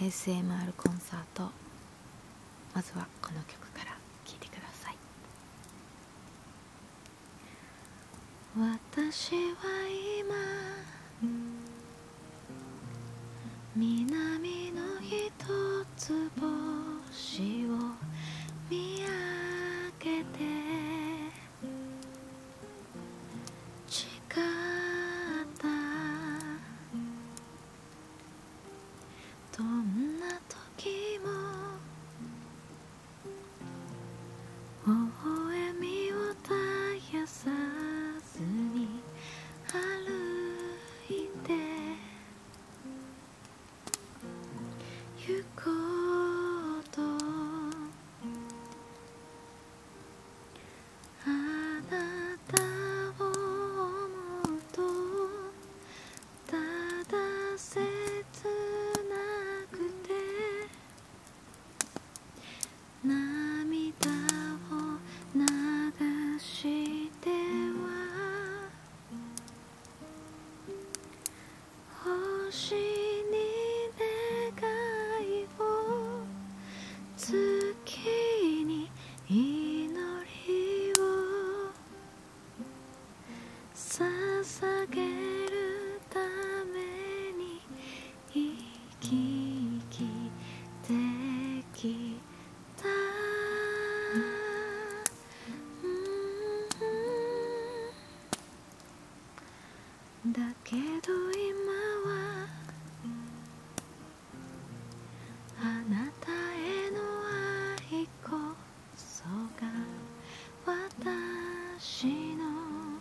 ASMR コンサートまずはこの曲から聴いてください私は今南の一つ星を見上げて誓った。どんな時も微笑みを絶やさずに歩いて行こうとあなたを思うとただ切なくて涙を流しては星に願いを月に祈りを捧げるために生き生きできただけど今はあなたへの愛こそが私の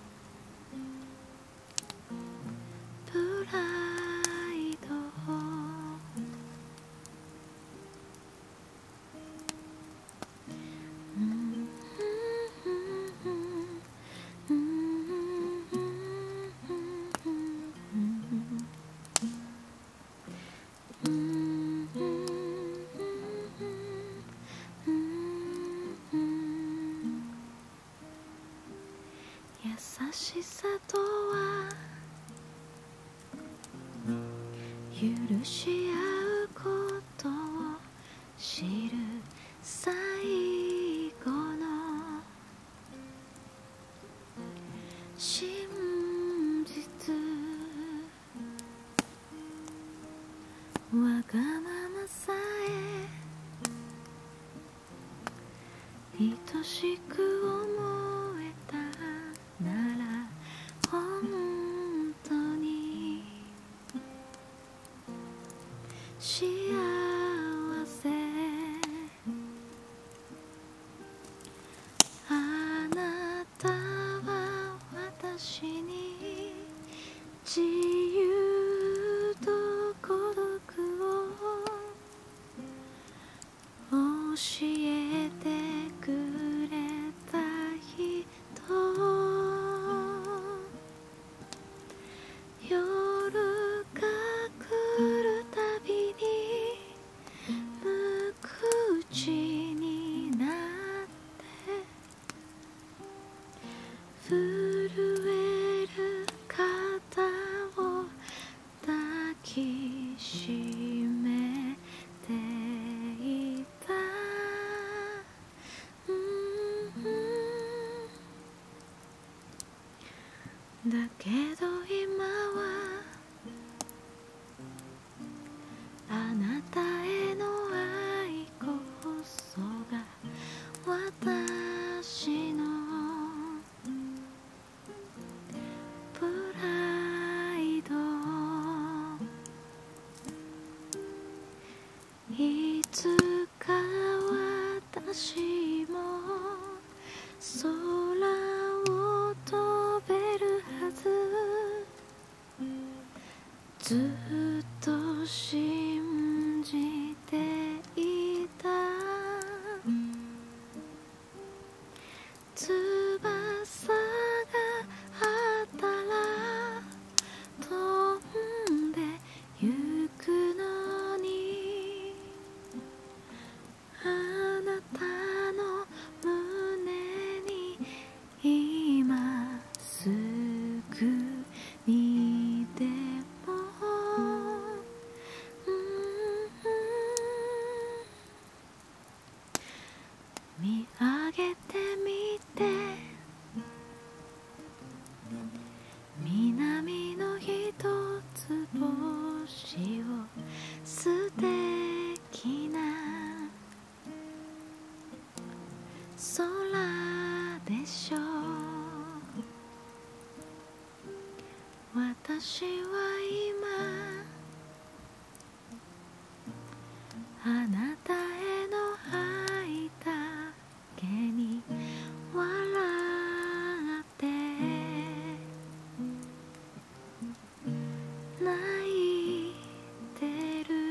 プライド優しさとは許し合うことを知る最後の真実わがままさえ愛しく思えたなら本当に幸せあなたは私に自由と孤独を教えてくれた人夜が来るたびに無口になって震える肩を抱きしめていたうん。だけど今はあなたへの愛こそが私のプライドいつか私も空を飛べるはずずっと信じていた翼があったら飛んでゆくのにあなたの胸に今すぐにでも、あげてみて南の一つ星を素敵な空でしょう私は今あなたへの吐いた毛に笑って泣いてる「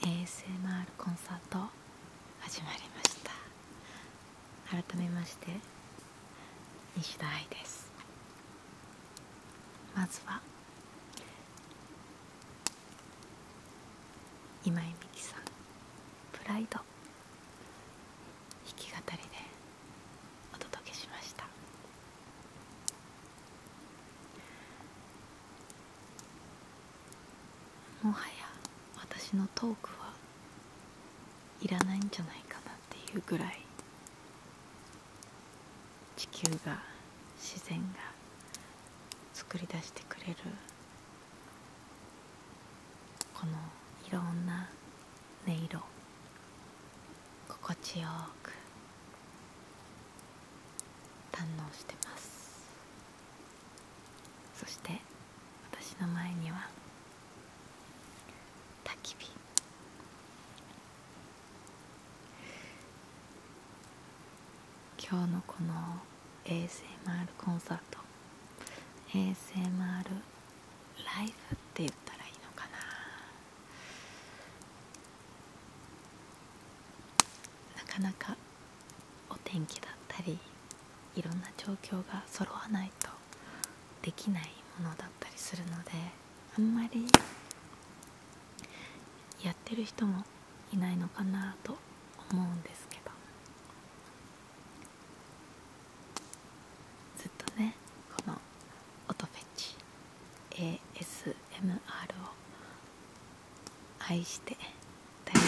ASMR コンサート始まりました改めまして西田愛ですまずは今井美樹さん「プライド」弾き語りでお届けしましたもはや私のトークはいらないんじゃないかなっていうぐらい地球が自然が作り出してくれるこのいろんな音色心地よく堪能してますそして私の前には焚き火今日のこの ASMR コンサート ASMR ライフって言ったらいいのかななかなかお天気だったりいろんな状況が揃わないとできないものだったりするのであんまりやってる人もいないのかなと思うんですけどずっとねこの音フェチ ASMR を愛してたよ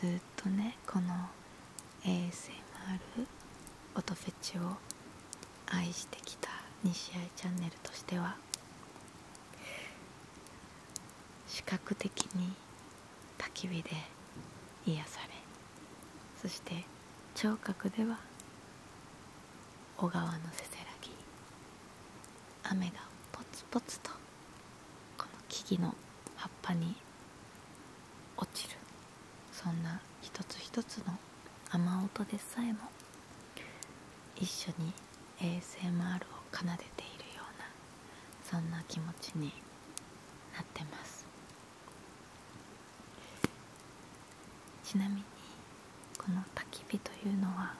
ずっとねこの ASMR 音フェチを愛してきた西合チャンネルとしては視覚的に焚き火で癒されそして聴覚では小川のせせらぎ雨がポツポツとこの木々の葉っぱに落ちるそんな一つ一つの雨音でさえも一緒に ASMR を奏でているようなそんな気持ちになってますちなみにこの焚き火というのは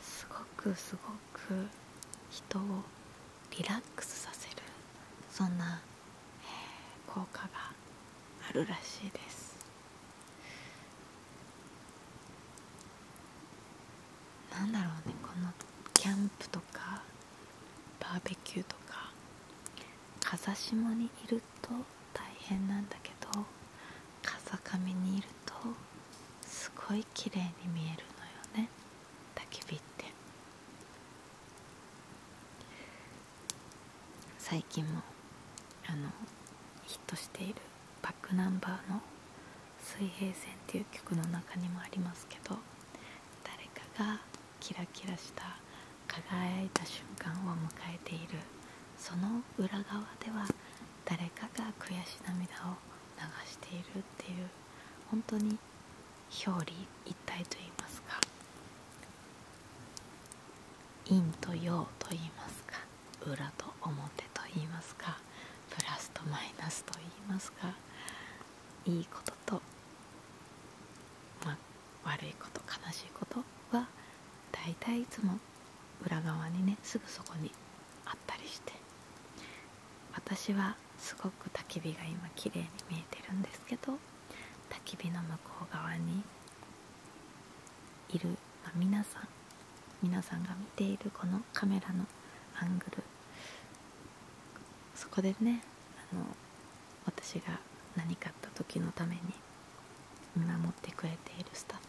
すごくすごく人をリラックスさせるそんな、効果があるらしいですなんだろうねこのキャンプとかバーベキューとか風下にいると大変なんだけど風上にいるとすごい綺麗に見えるのよね焚き火って最近もあのヒットしているバックナンバーの「水平線」っていう曲の中にもありますけど誰かがキラキラした輝いた瞬間を迎えているその裏側では誰かが悔し涙を流しているっていう本当に表裏一体といいますか陰と陽といいますか裏と表と言いますかプラスとマイナスと言いますかいいことと、ま悪いこと悲しいことは大体いつも裏側にねすぐそこにあったりして私はすごく焚き火が今綺麗に見えてるんですけど焚き火の向こう側にいる、ま皆さん皆さんが見ているこのカメラのアングルそこでねあの私が何かあった時のために見守ってくれているスタッフ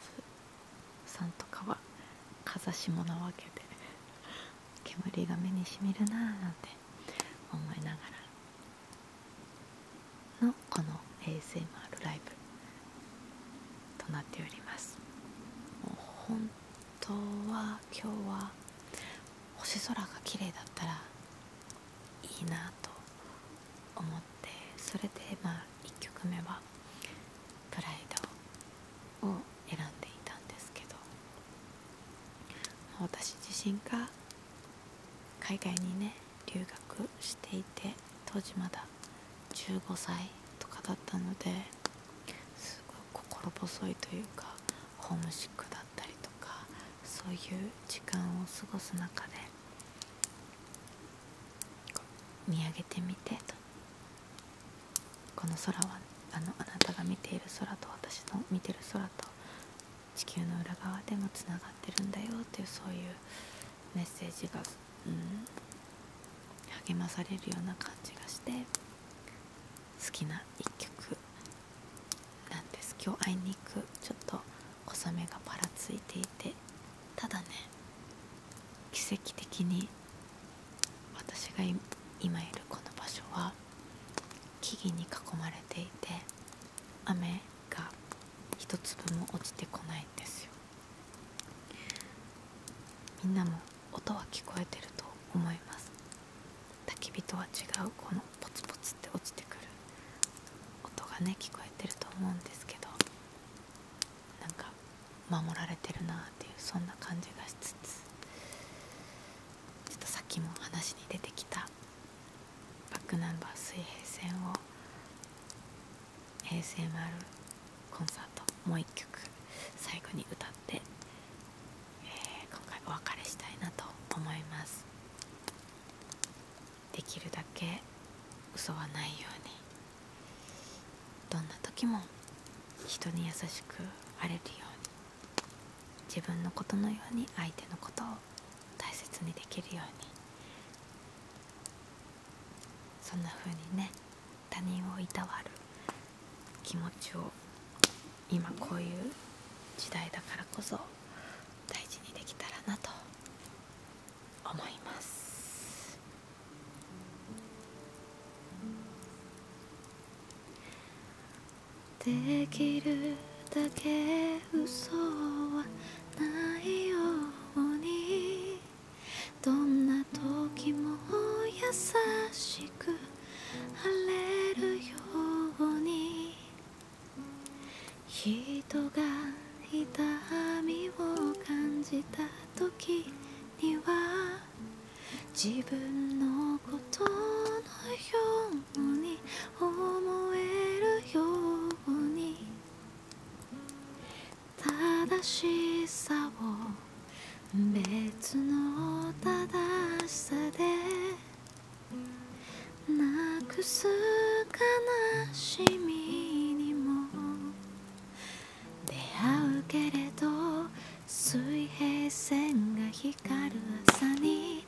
さんとかは風下なわけで。煙が目にしみるなぁなんて思いながらのこの ASMR ライブとなっておりもう本当は今日は星空が綺麗だったらいいなと思ってそれでまあ1曲目は「プライド」を選んでいたんですけど私自身が海外にね留学していて当時まだ15歳とかだったのですごい心細いというかホームシックだったりとかそういう時間を過ごす中で見上げてみてこの空はあのあなたが見ている空と私の見てる空と地球の裏側でもつながってるんだよっていうそういう。メッセージが、うん、励まされるような感じがして好きな一曲なんです今日あいに行くちょっと小雨がばらついていてただね奇跡的に私が今いるこの場所は木々に囲まれていて雨が一粒も落ちてこないんですよみんなも音は聞こえてると思います焚き火とは違うこのポツポツって落ちてくる音がね聞こえてると思うんですけどなんか守られてるなっていうそんな感じがしつつちょっとさっきも話に出てきたバックナンバー水平線を平成丸。コンサートもう一曲最後に歌って、え今回お別れしたいなと思いますできるだけ嘘はないようにどんな時も人に優しくあれるように自分のことのように相手のことを大切にできるようにそんな風にね他人をいたわる気持ちを今こういう時代だからこそ大事にできたらなと思います「できるだけ嘘はないように」どんな時も優しく晴れるように人が痛みを感じた時には自分のことのように思えるように正しさを別の正しさでなくす悲しみにも出会うけれど水平線が光る朝に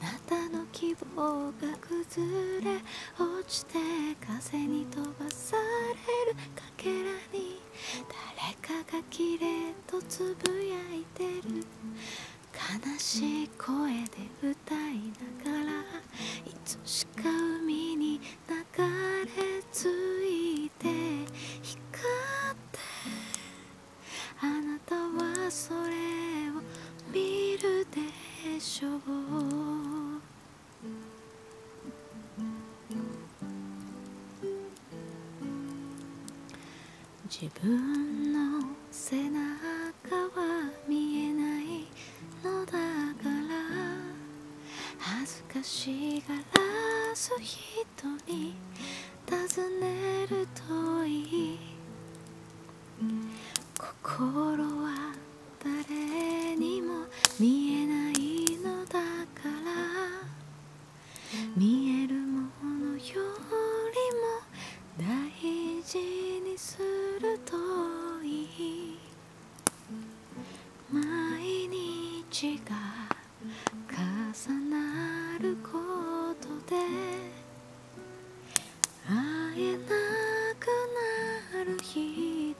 あなたの希望が崩れ落ちし風に飛ばされるかけらに誰かがきれいとつぶやいてる悲しい声で歌いながらいつしか海に流れ着いて光ってあなたはそれを見るでしょう自分の背中は見えないのだから恥ずかしがらす。人に尋ねるといい心は誰にも見えないのだから見えるものよりも大事にするといい毎日が重なることで会えなくなる日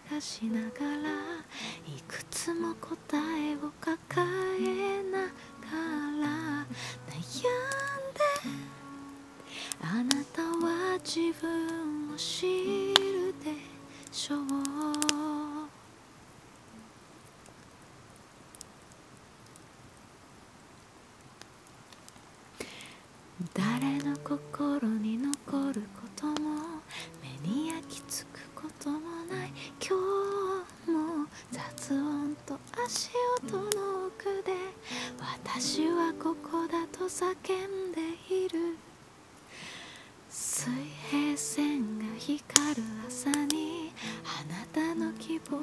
いくつも答えを抱えながら悩んであなたは自分を知るでしょう誰の心にの残ることも目に焼きつくこともない今日も雑音と足音の奥で私はここだと叫んでいる水平線が光る朝にあなたの希望が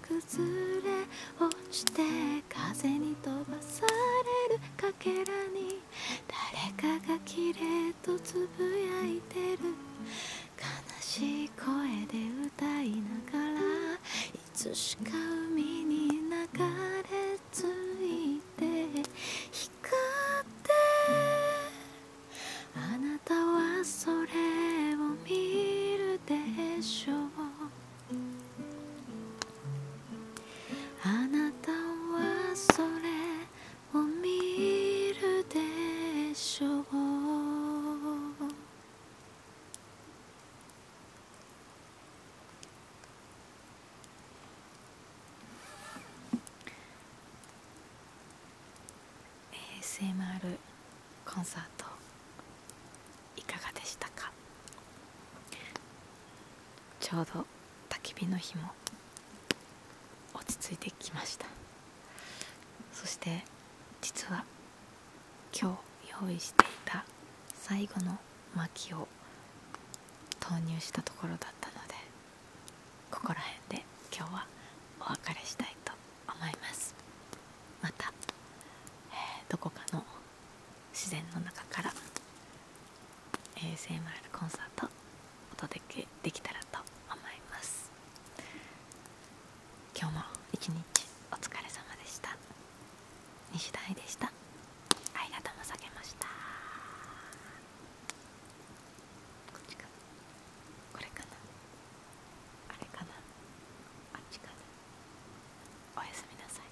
崩れ落ちて風に飛ばされるかけらに誰かが綺麗とつぶやいてる悲しい声で歌いながらいつしか海に流れ着いて光ってあなたはそれを見るでしょうあなたはそれを見るでしょうコンサートいかがでしたかちょうど焚き火の日も落ち着いてきましたそして実は今日用意していた最後の薪を投入したところだったのでここら辺で今日はお別れしたいと思いますまた、どこかの自然の中から ASMR コンサートお届けできたらと思います今日も一日お疲れ様でした西大でしたありがとうさげましたこっちかなこれかなあれかなあっちかなおやすみなさい